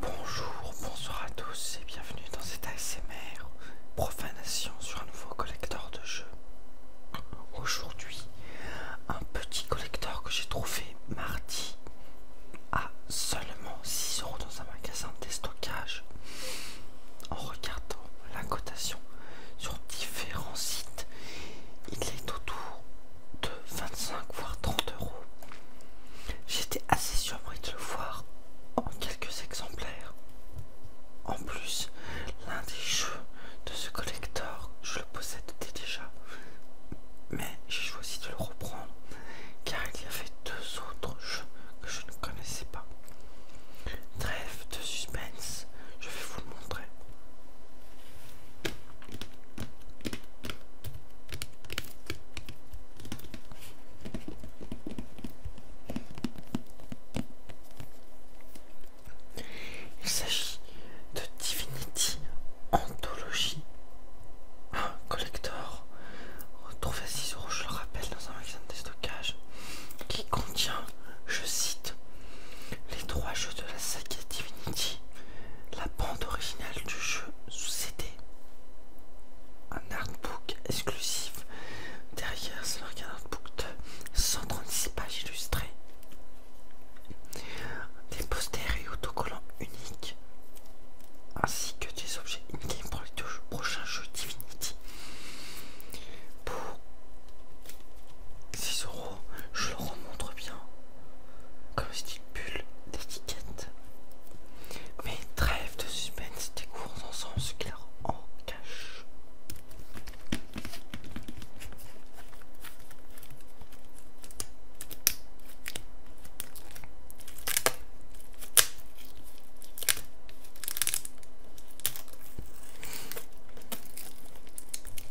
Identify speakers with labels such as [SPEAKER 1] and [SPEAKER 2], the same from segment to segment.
[SPEAKER 1] Bonjour, bonsoir à tous et bienvenue dans cet ASMR profanation sur un nouveau collecteur de jeux. Aujourd'hui, un petit collecteur que j'ai trouvé mardi à seulement 6€ dans un magasin de stockage En regardant la cotation, sur différents sites. Il est autour de 25 voire 30 euros. J'étais assez surpris de le voir en quelques exemplaires. En plus, l'un des jeux de ce collector, je le possède déjà. Mais j'ai choisi de le reprendre car il y avait deux autres jeux que je ne connaissais pas. Trêve de suspense, je vais vous le montrer. Il s'agit de Divinity Anthology, un collector retrouvé à 6 euros, je le rappelle, dans un magasin de stockage qui contient, je cite, les trois jeux de saga Divinity, la bande originale du jeu sous CD. Un artbook exclusif. Derrière, c'est un artbook de 136 pages illustrées. Des posters et autocollants uniques. Ainsi que des objets uniques pour les deux prochains jeux Divinity. Pour euros. Je le remontre bien. Comme tu d'étiquette. Mais trêve de suspense, cours en sens clair en cache.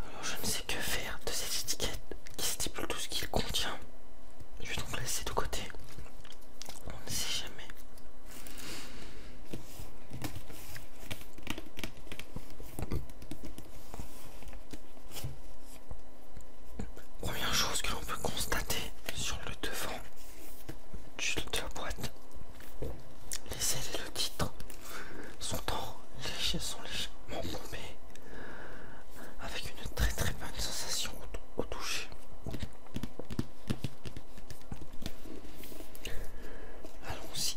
[SPEAKER 1] Alors je ne sais que faire de cette étiquette qui stipule tout ce qu'il contient. Je vais donc laisser de côté. On ne sait jamais. Première chose que l'on peut constater sur le devant de la boîte, les ailes et le titre sont, en sont légèrement bombés avec une très très bonne sensation au toucher. Allons-y.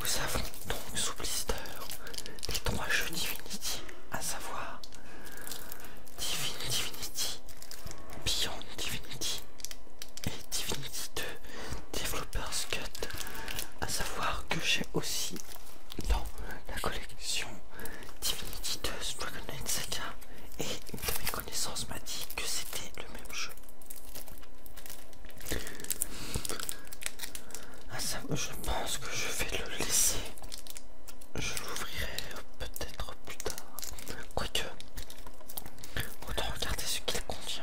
[SPEAKER 1] Nous avons donc sous blister les trois jeux Divinity, à savoir Divine Divinity, Beyond Divinity et Divinity 2 Developer's Cut, à savoir que j'ai aussi dans la collection Divinity 2 Dragon Knight Saga et une de mes connaissances m'a dit que c'était le même ah, ça, je pense que je vais le laisser. Je l'ouvrirai peut-être plus tard. Quoique, autant regarder ce qu'il contient.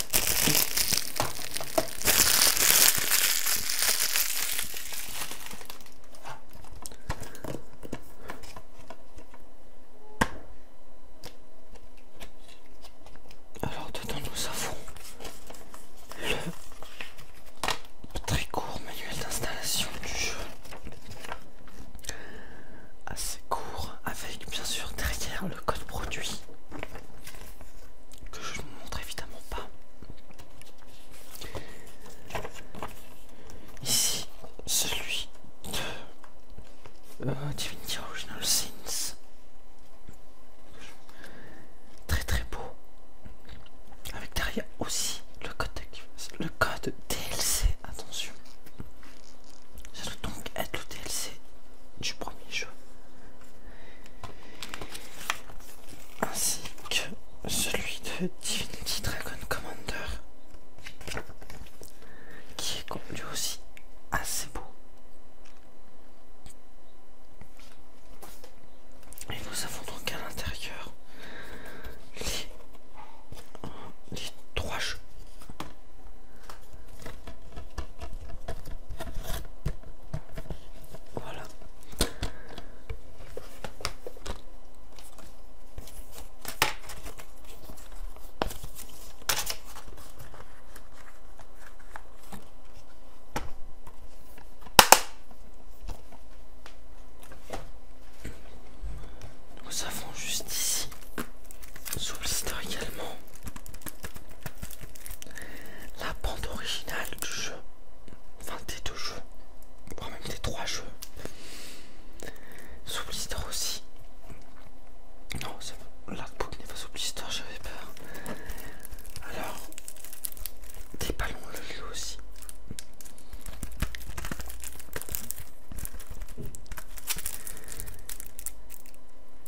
[SPEAKER 1] Alors dedans nous avons le très court manuel d'installation du jeu. Assez court avec bien sûr derrière le code produit que je ne montre évidemment pas. Ici, celui de euh, Divinity Original Sins. Très très beau. Avec derrière aussi le code, le code DLC. Attention. Ça doit donc être le DLC du premier jeu. Ainsi que celui de Divinity Dragon Commander, qui est lui aussi assez beau. Et nous avons donc à l'intérieur les trois jeux. Voilà. Nous avons juste ici sous blister également la bande originale du jeu, enfin des deux jeux, voire même des trois jeux, sous aussi. Non, la n'est pas sous j'avais peur. Alors, des ballons le jeu aussi.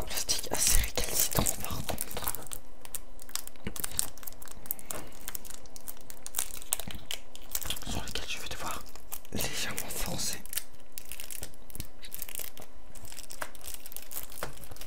[SPEAKER 1] Un plastique assez récalcitrant par contre. Sur lequel je vais devoir légèrement foncer.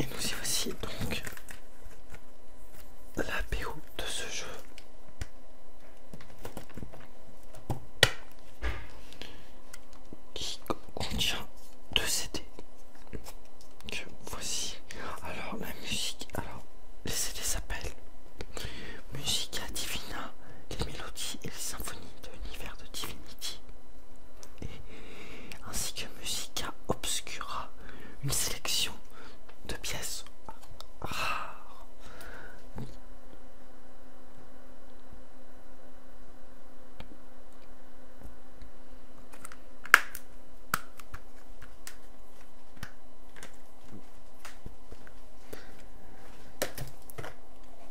[SPEAKER 1] Et nous y voici donc la de ce jeu qui contient deux CD que voici. Alors la musique, alors les CD s'appellent Musica Divina, les mélodies et les symphonies de l'univers de Divinity, ainsi que Musica Obscura, une sélection de pièces rares.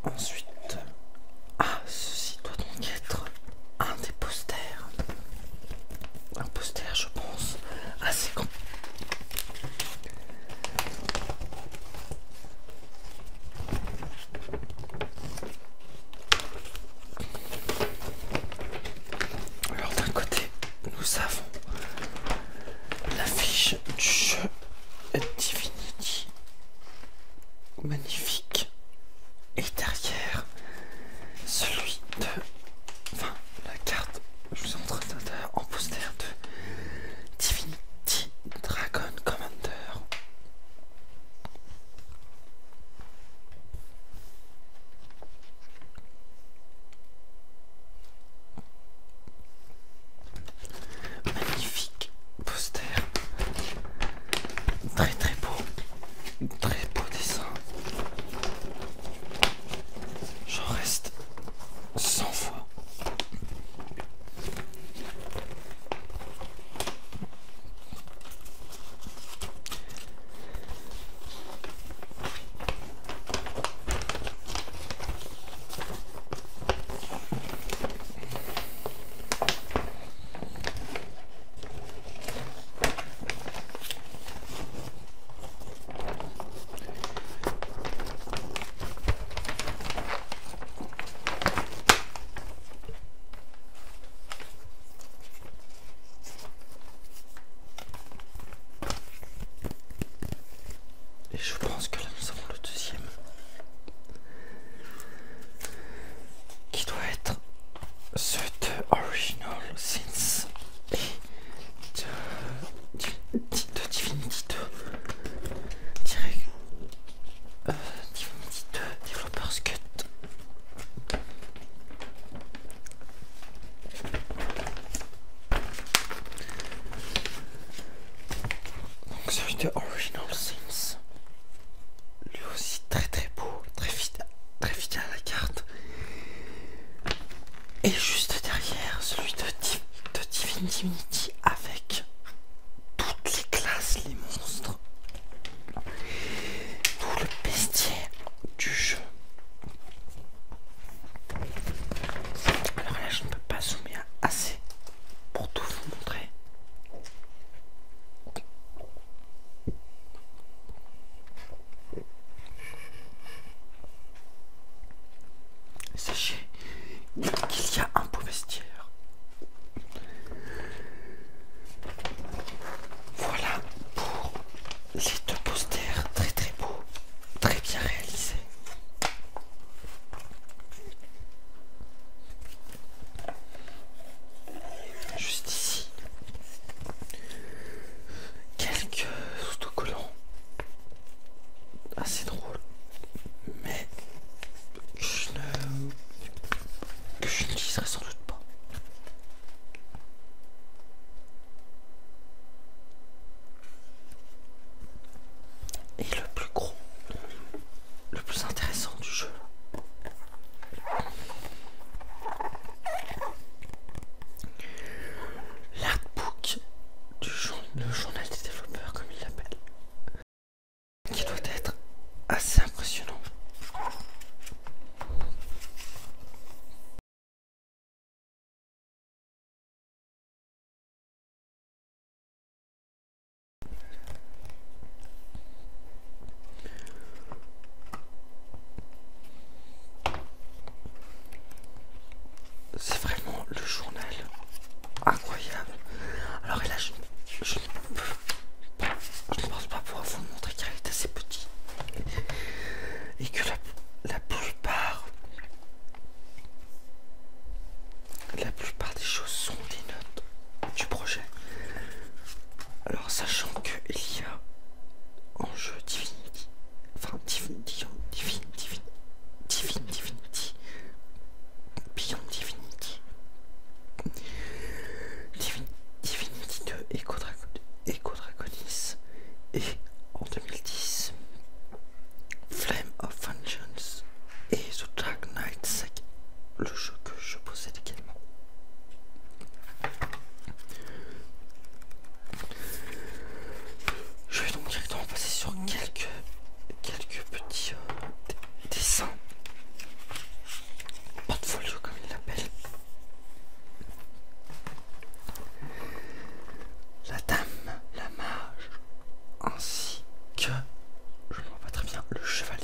[SPEAKER 1] Ensuite, ah, ceci doit donc être un des posters, un poster, je pense, assez grand. Alors d'un côté, nous avons l'affiche du jeu Divinity. Magnifique. Et derrière, celui de... Enfin, la carte, je vous en en poster de Divinity. Petit Dragon Commander. Magnifique poster. Très très beau. Très beau dessin. J'en reste 100 fois. Et je pense que là nous avons le deuxième qui doit être ce de Original Sins de, Divinity euh, développeur scut. Donc celui de Original Sims. Lui aussi très très beau, très fidèle, très fidèle à la carte. Et juste derrière celui de Deep de Divinity avec toutes les classes, les monstres, tout le bestiaire du jeu. Alors là, je ne peux pas zoomer assez pour tout vous montrer. Sachez qu'il y a un beau vestiaire. Voilà pour les deux posters très très beaux, très bien réalisés. Juste ici, quelques autocollants assez ah, drôle, mais je ne que sans doute pas. Et le plus gros, le plus intéressant du jeu. L'artbook du jeu le journal des développeurs comme il l'appelle, qui doit être assez impressionnant. C'est vraiment le journal incroyable. Alors là je, ne pense pas pouvoir vous montrer qu'elle est assez petit et que la, plupart la plupart des choses sont des notes du projet. Alors sachant qu'il y a un jeu Divinity Enfin, Divinity, Divinity, Divinity, Divine Divinity, Beyond Divinity, Divinity de Echo, Dragonis et en 2010, Flame of Vengeance et The Dark Knight le jeu que je possède également. Je vais donc directement passer sur quelques, quelques petits euh, dessins. Portfolio comme il l'appelle. La dame, la mage, ainsi que, je ne vois pas très bien, le chevalier.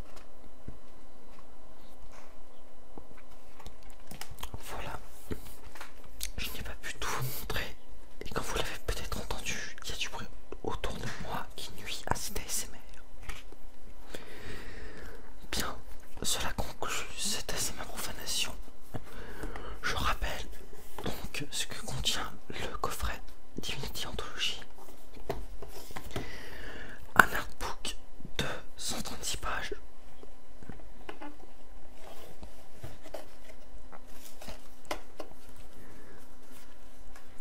[SPEAKER 1] Voilà, je n'ai pas pu tout vous montrer et comme vous l'avez peut-être entendu, il y a du bruit autour de moi qui nuit à cet ASMR. Bien, cela conclut cette ASMR profanation. Je rappelle donc ce que contient le coffret Divinity Anthology. Un artbook de 136 pages.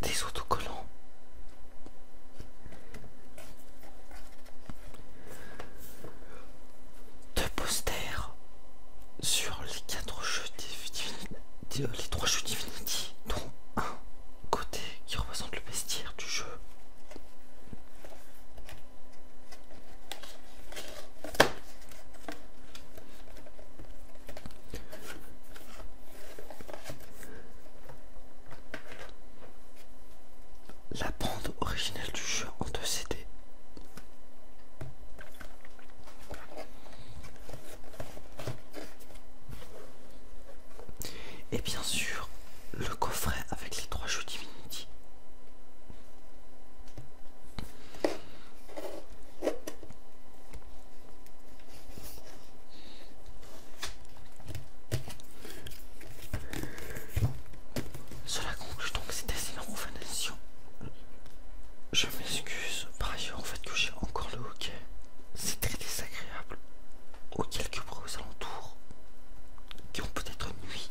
[SPEAKER 1] Des autocollants. Deux posters sur les quatre jeux les jeux Divinity, dont un côté qui représente le bestiaire du jeu la bande originelle du jeu en 2 CD. Et bien sûr, le coffret avec les trois jeux Divinity. Cela conclut donc cette recommandation. Je m'excuse par ailleurs en fait que j'ai encore le hockey. C'est très désagréable ou quelques aux alentours qui ont peut-être nuit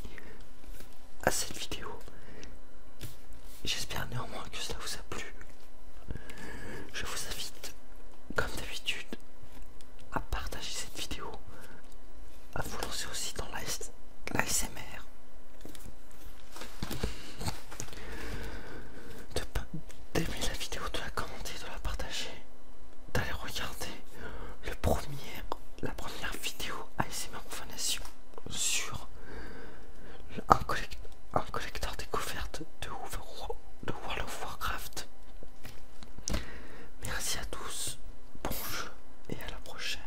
[SPEAKER 1] à cette vidéo. J'espère néanmoins que cela vous a plu. Je vous invite, comme d'habitude, à partager cette vidéo, à vous lancer aussi dans l'ASMR. D'aimer la vidéo, de la commenter, de la partager d'aller regarder le premier, la première vidéo ASMR FANATION sur un, collecteur découverte de, de World of Warcraft. Merci à tous, bon jeu et à la prochaine.